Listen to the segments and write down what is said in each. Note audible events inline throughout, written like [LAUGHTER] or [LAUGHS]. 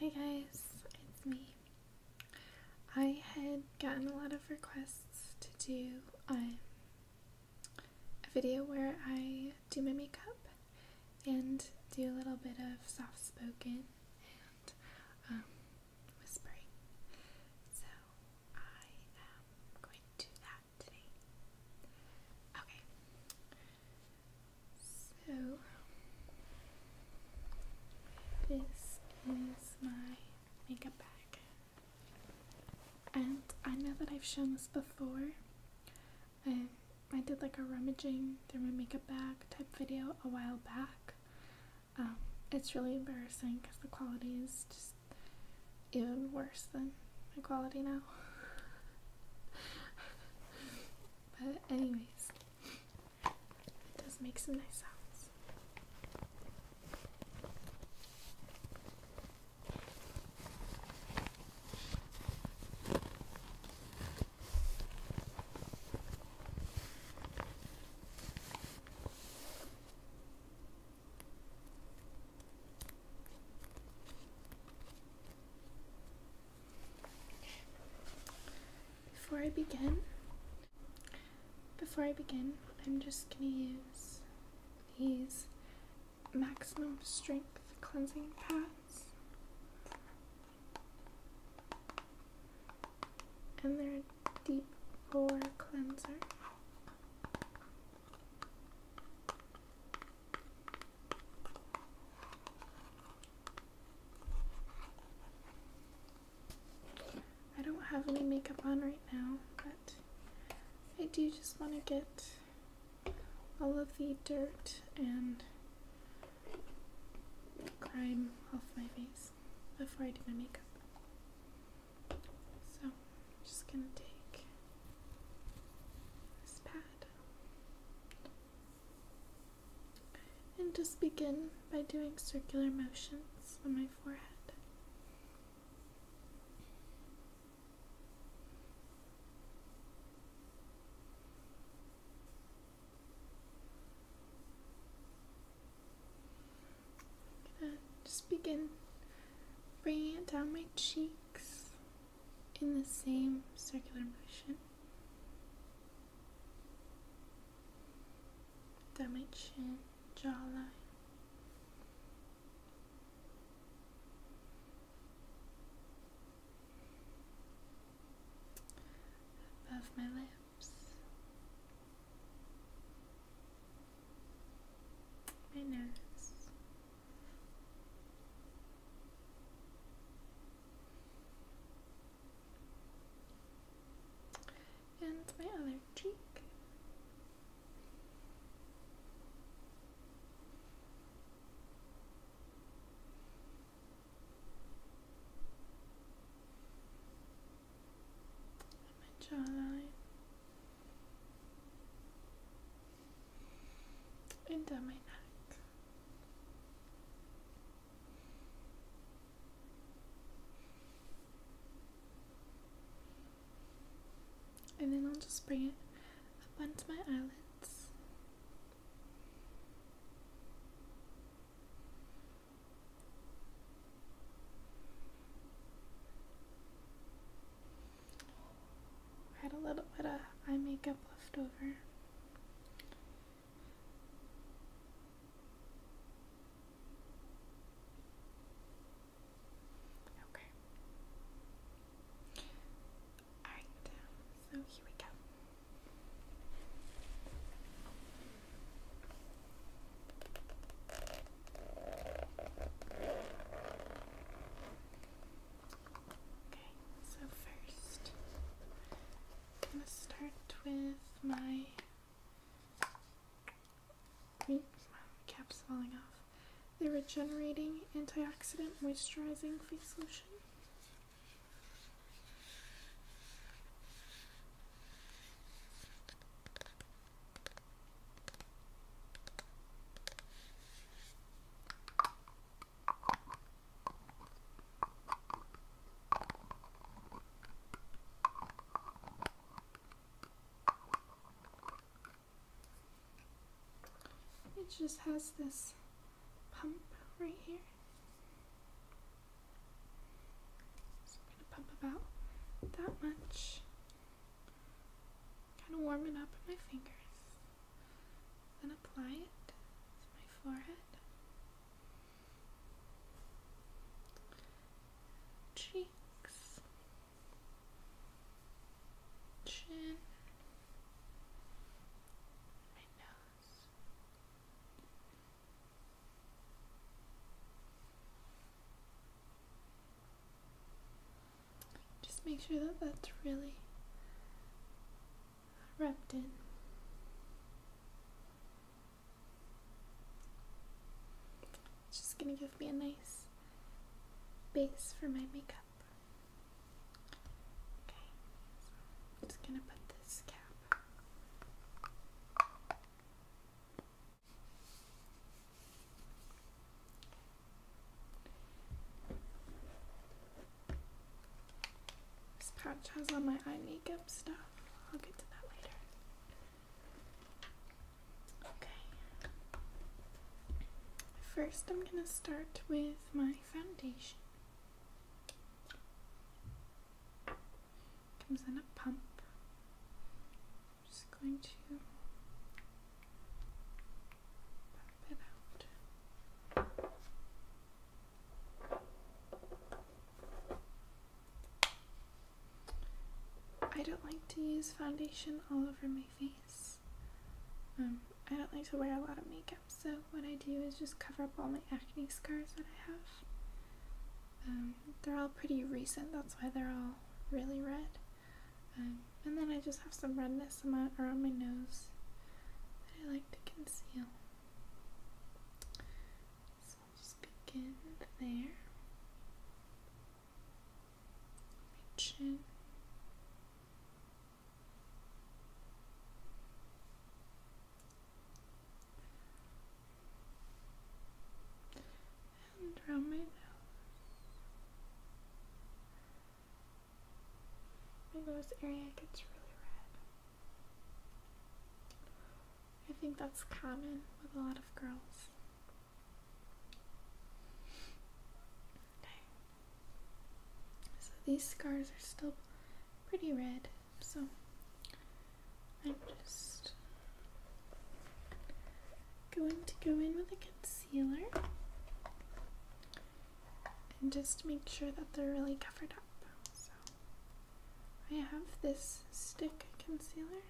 Hi guys, it's me. I had gotten a lot of requests to do um, a video where I do my makeup and do a little bit of soft spoken and um, whispering. So I am going to do that today. Okay, so, this is my makeup bag. And I know that I've shown this before. Um, I did like a rummaging through my makeup bag type video a while back. Um, it's really embarrassing because the quality is just even worse than my quality now. [LAUGHS] But anyways, it does make some nice sounds. Before I begin, before I begin, I'm just gonna use these maximum strength cleansing pads. And their deep pore cleanser. I don't have any makeup on right now, but I do just want to get all of the dirt and crime off my face before I do my makeup. So I'm just going to take this pad and just begin by doing circular motions on my forehead. just begin bringing it down my cheeks in the same circular motion. Dimension jawline. Above my lips, my nose, and my other cheek. my jawline. And down my neck. And then I'll just bring it up onto my eyelids. I had a little bit of eye makeup left over. Okay. Alright, so here we go. Okay, so first I'm gonna start with my my cap's falling off. The regenerating antioxidant moisturizing face lotion. It just has this pump right here. So I'm gonna pump about that much. Kind of warm it up in my fingers. Then apply it to my forehead cheeks, chin, my nose. Just make sure that that's really wrapped in. It's just gonna give me a nice base for my makeup. Okay, just gonna put this cap. This pouch has all my eye makeup stuff. I'll get to that later. Okay. First, I'm going to start with my foundation. Comes in a pump. just going to pump it out. I don't like to use foundation all over my face. Um, I don't like to wear a lot of makeup, so what I do is just cover up all my acne scars that I have. Um, they're all pretty recent, that's why they're all really red. Um, and then I just have some redness around my nose that I like to conceal. So I'll just begin there. My chin. And around my nose. My nose area gets really red. I think that's common with a lot of girls. So these scars are still pretty red, so I'm just going to go in with a concealer and just make sure that they're really covered up. I have this stick concealer.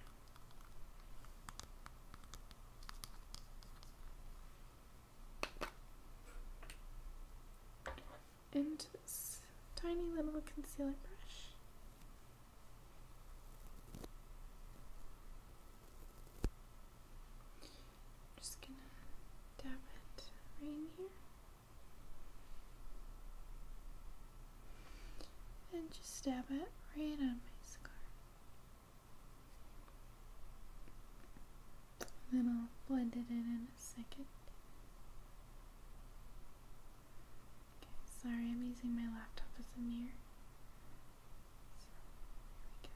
And this tiny little concealer brush. just gonna dab it right here and just stab it right on my scar. And then I'll blend it in in a second. Okay, sorry, I'm using my laptop as a mirror. So, here we go.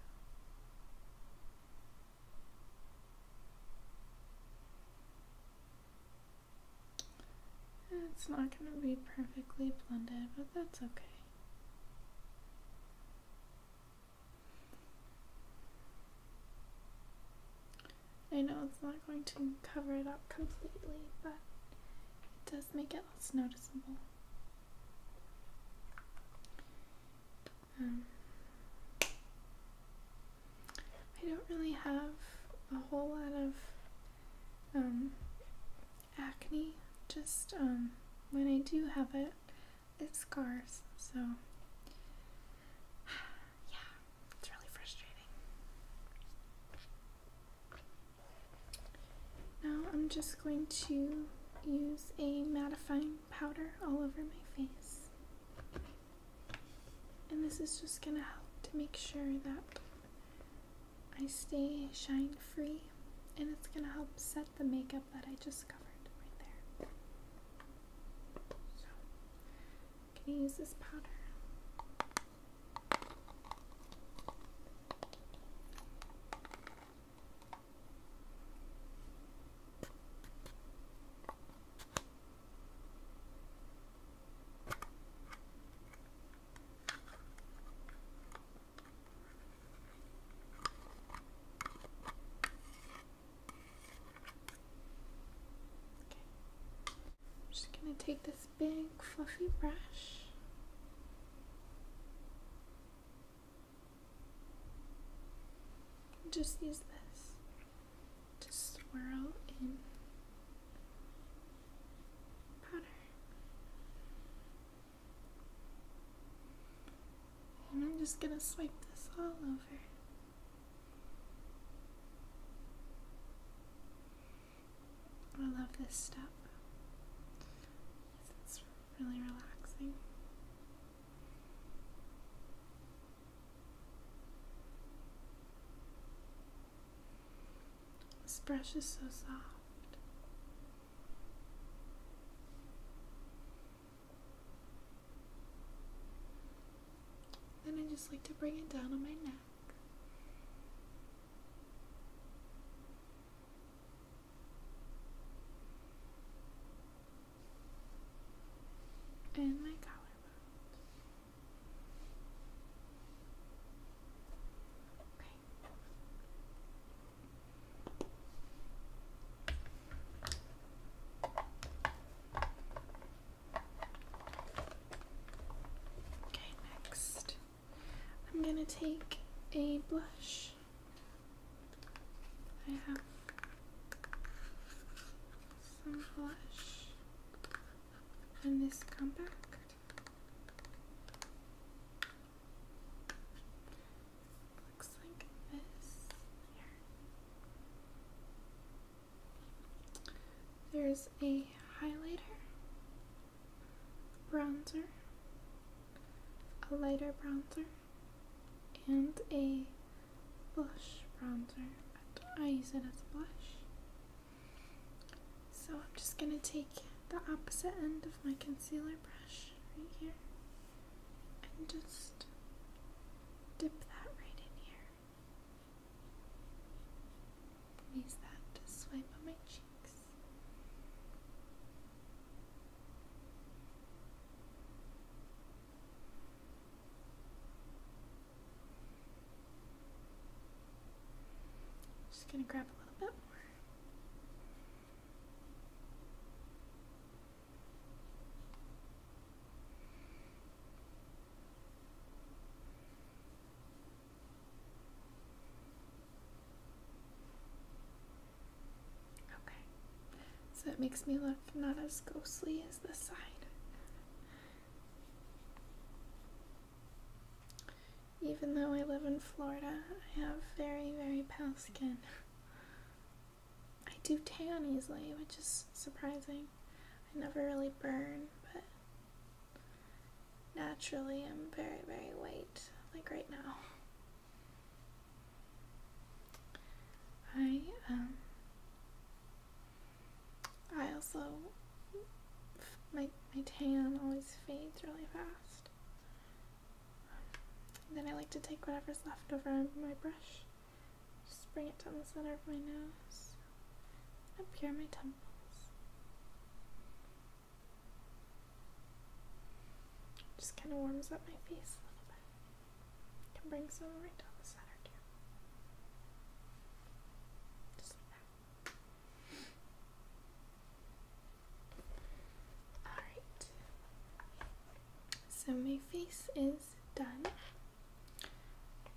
It's not going to be perfectly blended, but that's okay. I know it's not going to cover it up completely, but it does make it less noticeable. Um, I don't really have a whole lot of um, acne, just um, when I do have it, it scars, so [SIGHS] yeah, it's really frustrating. Now I'm just going to use a mattifying powder all over my face. And this is just going to help to make sure that I stay shine free and it's going to help set the makeup that I just covered right there. So, I'm use this powder. I'm just going to take this big fluffy brush. Just use this to swirl in powder. And I'm just gonna swipe this all over. I love this step. It's really relaxing. This brush is so soft. Then I just like to bring it down on my neck. And my collarbone. Okay, next I'm going to take a blush I have some blush. And this compact. Looks like this. There's a highlighter, bronzer, a lighter bronzer, and a blush bronzer. I use it as a blush. So I'm just going to take the opposite end of my concealer brush right here and just dip that right in here. Use that to swipe on my cheeks. Just gonna grab a little bit more. Okay, so it makes me look not as ghostly as this side. Even though I live in Florida, I have very, very pale skin. I do tan easily, which is surprising. I never really burn, but naturally I'm very, very white, like right now. I um I also my my tan always fades really fast. Then I like to take whatever's left over my brush, just bring it down the center of my nose, up here my temples. Just kind of warms up my face a little bit. Can bring some right down the center too. Just like that. Alright, so my face is done. I'm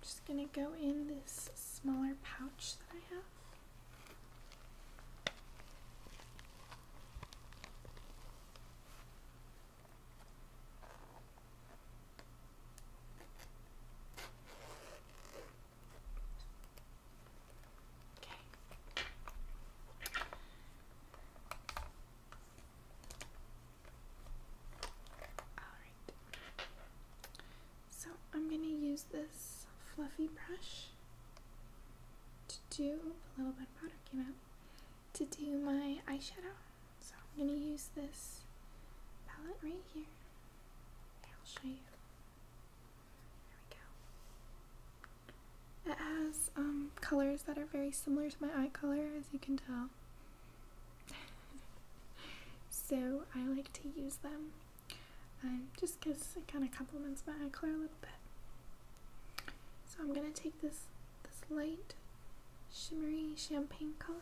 just going to go in this smaller pouch that I have. So I'm going to use this fluffy brush to do a little bit of powder came out to do my eyeshadow. So I'm going to use this palette right here. I'll show you. There we go. It has um, colors that are very similar to my eye color, as you can tell. [LAUGHS] so I like to use them um, just because it kind of complements my eye color a little bit. So I'm going to take this, this light shimmery champagne color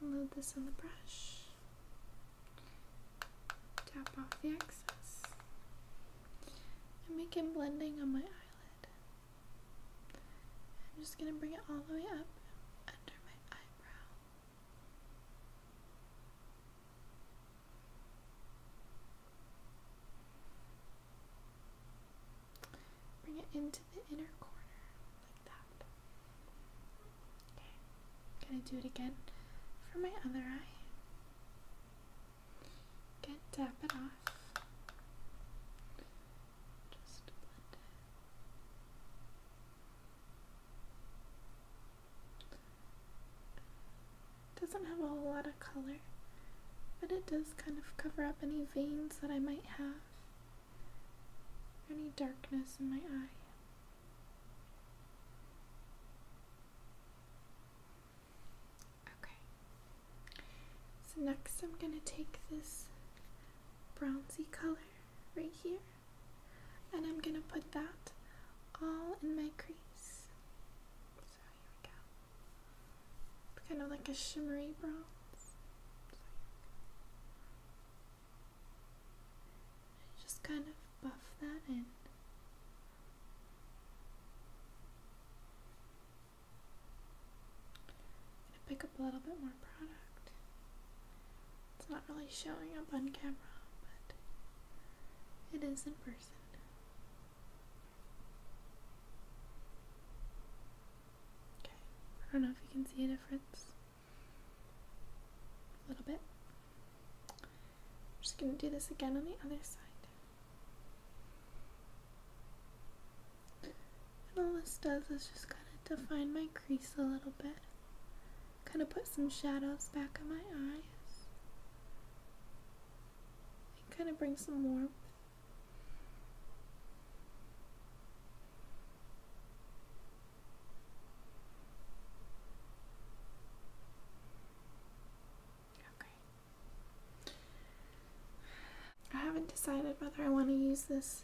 Load this on the brush. Tap off the excess. and am making blending on my eyelid. I'm just gonna bring it all the way up under my eyebrow. Bring it into the inner corner like that. Okay, gonna do it again for my other eye. Again, tap it off. Doesn't have a whole lot of color, but it does kind of cover up any veins that I might have any darkness in my eye. Okay. So next I'm going to take this bronzy color right here and I'm going to put that all in my crease. So here we go. kind of like a shimmery bronze. And just kind of buff that in. pick up a little bit more product. It's not really showing up on camera, but it is in person. Okay, I don't know if you can see a difference a little bit. I'm just going to do this again on the other side. And all this does is just kind of define my crease a little bit. Kind of put some shadows back on my eyes. kind of bring some warmth. Okay. I haven't decided whether I want to use this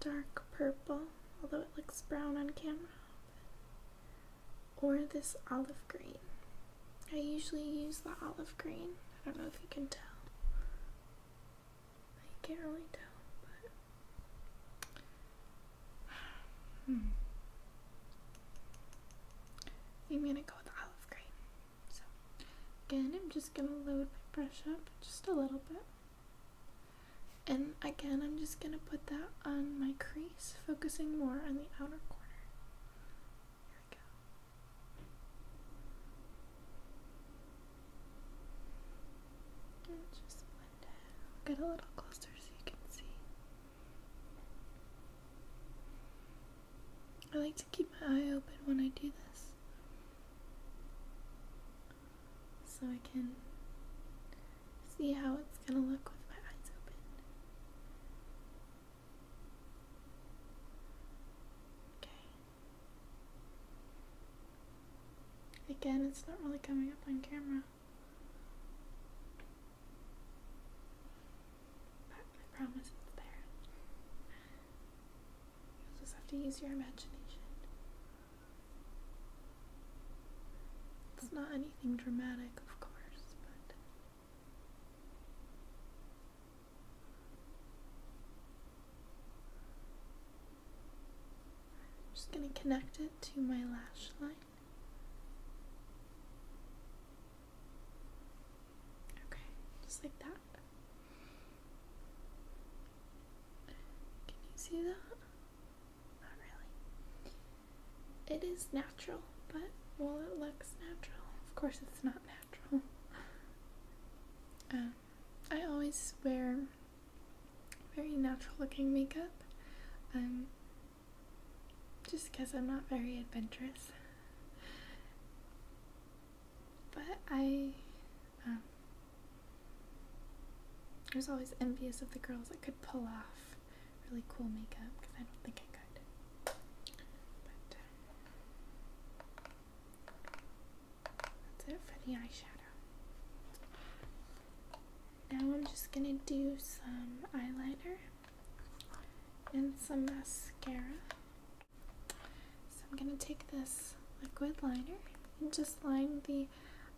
dark purple, although it looks brown on camera, or this olive green. I usually use the olive green. I don't know if you can tell. I can't really tell, but. I'm gonna go with olive green. So, again, I'm just gonna load my brush up just a little bit. And again, I'm just gonna put that on my crease, focusing more on the outer corner. Here we go just blend i get a little closer so you can see. I like to keep my eye open when I do this. So I can see how it's going to look with my eyes open. Okay. Again, it's not really coming up on camera. But I promise it's there. You'll just have to use your imagination. It's not anything dramatic, of course, but I'm just going to connect it to my lash line. Okay, just like that. Can you see that? Not really. It is natural, but well, it looks natural, of course it's not natural. [LAUGHS] Um, I always wear very natural looking makeup. Um, just because I'm not very adventurous. But I um, I was always envious of the girls that could pull off really cool makeup because I don't think I could. Uh, that's it for the eyeshadow. Now I'm just gonna do some eyeliner and some mascara. So I'm gonna take this liquid liner and just line the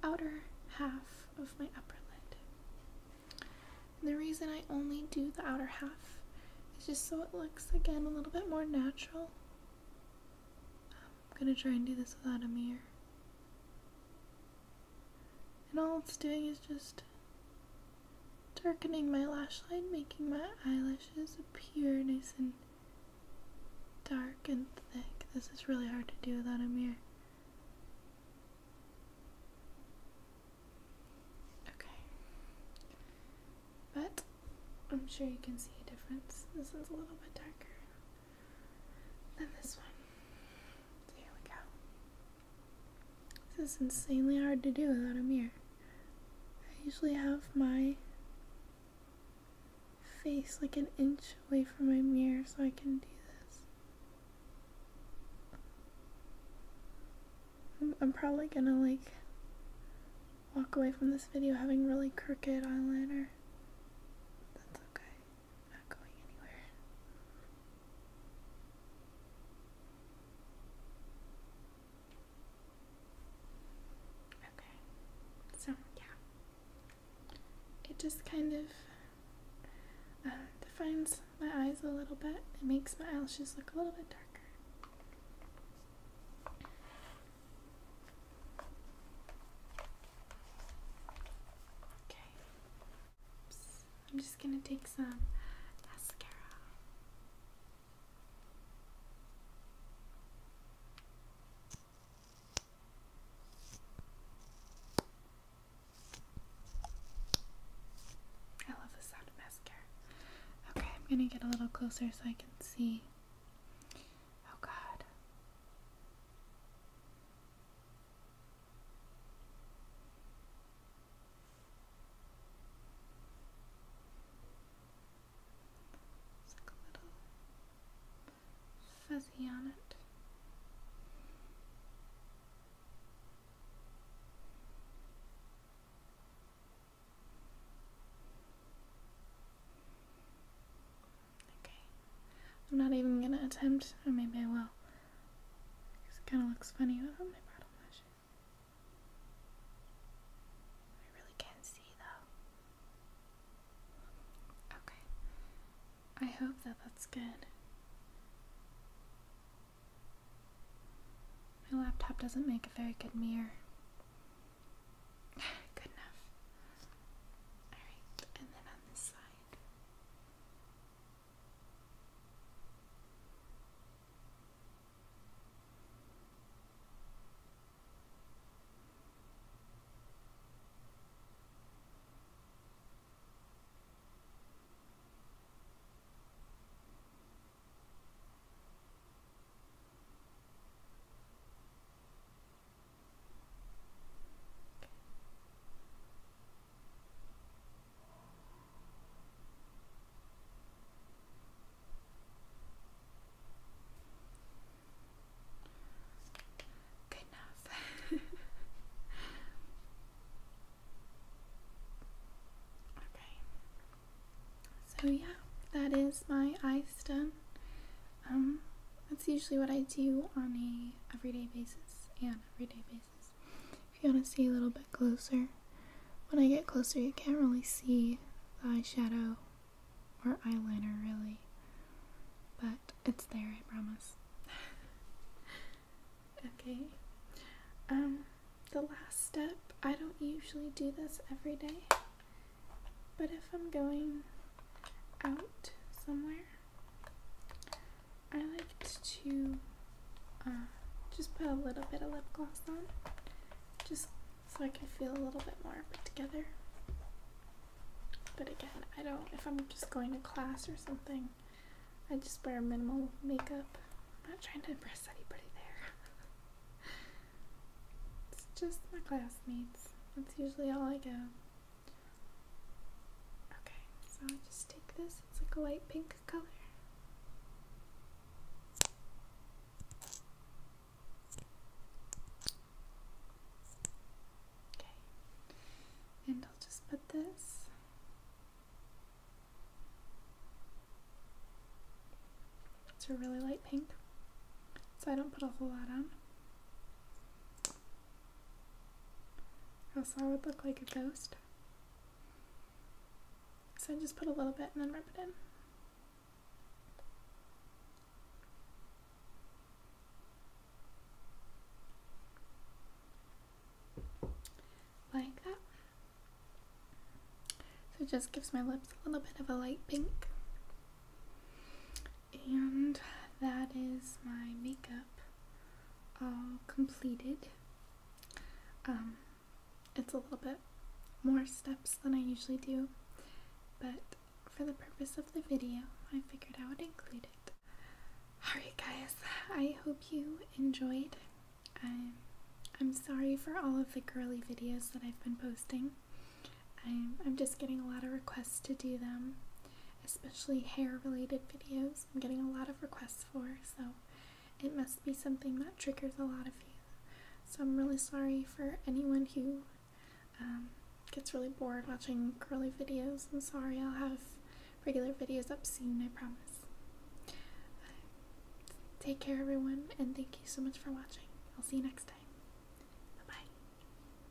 outer half of my upper lid. And the reason I only do the outer half is just so it looks again a little bit more natural. I'm gonna try and do this without a mirror. And all it's doing is just darkening my lash line, making my eyelashes appear nice and dark and thick. This is really hard to do without a mirror. Okay. But I'm sure you can see a difference. This is a little bit darker. Then this one. Here we go. This is insanely hard to do without a mirror. I usually have my face like an inch away from my mirror so I can do this. I'm, I'm probably gonna like walk away from this video having really crooked eyeliner. That's okay. not going anywhere. Okay. So, yeah. It just kind of uh, defines my eyes a little bit. It makes my eyelashes look a little bit darker. Okay. I'm just going to take some mascara. I love the sound of mascara. Okay, I'm gonna get a little closer so I can see Oh God. It's like a little fuzzy on it. Okay. I'm not even gonna attempt, or maybe I will. Because it kind of looks funny without my bottom lashes. I really can't see though. Okay. I hope that that's good. My laptop doesn't make a very good mirror. [SIGHS] Good enough. Alright, and then on this side. Good enough. [LAUGHS] okay. So yeah, that is my ice done um, that's usually what I do on a everyday basis and everyday basis. If you want to see a little bit closer, when I get closer, you can't really see the eyeshadow or eyeliner really, but it's there. I promise. [LAUGHS] okay. Um, the last step. I don't usually do this every day. But if I'm going out somewhere, I like to uh, just put a little bit of lip gloss on, just so I can feel a little bit more put together. But again, I don't, if I'm just going to class or something, I just wear minimal makeup. I'm not trying to impress anybody there. [LAUGHS] it's just my classmates. That's usually all I go. Okay, so i just take this, it's like a light pink color. Okay, and I'll just put this it's a really light pink so I don't put a whole lot on Else I would look like a ghost. So I just put a little bit and then rub it in. Like that. So it just gives my lips a little bit of a light pink. And that is my makeup all completed. Um, it's a little bit more steps than I usually do, but for the purpose of the video, I figured I would include it. Alright guys, I hope you enjoyed. I'm, I'm sorry for all of the girly videos that I've been posting. I'm, I'm just getting a lot of requests to do them, especially hair related videos. I'm getting a lot of requests for, so it must be something that triggers a lot of you. So I'm really sorry for anyone who um, gets really bored watching curly videos. I'm sorry, I'll have regular videos up soon, I promise. take care, everyone, and thank you so much for watching. I'll see you next time. Bye bye.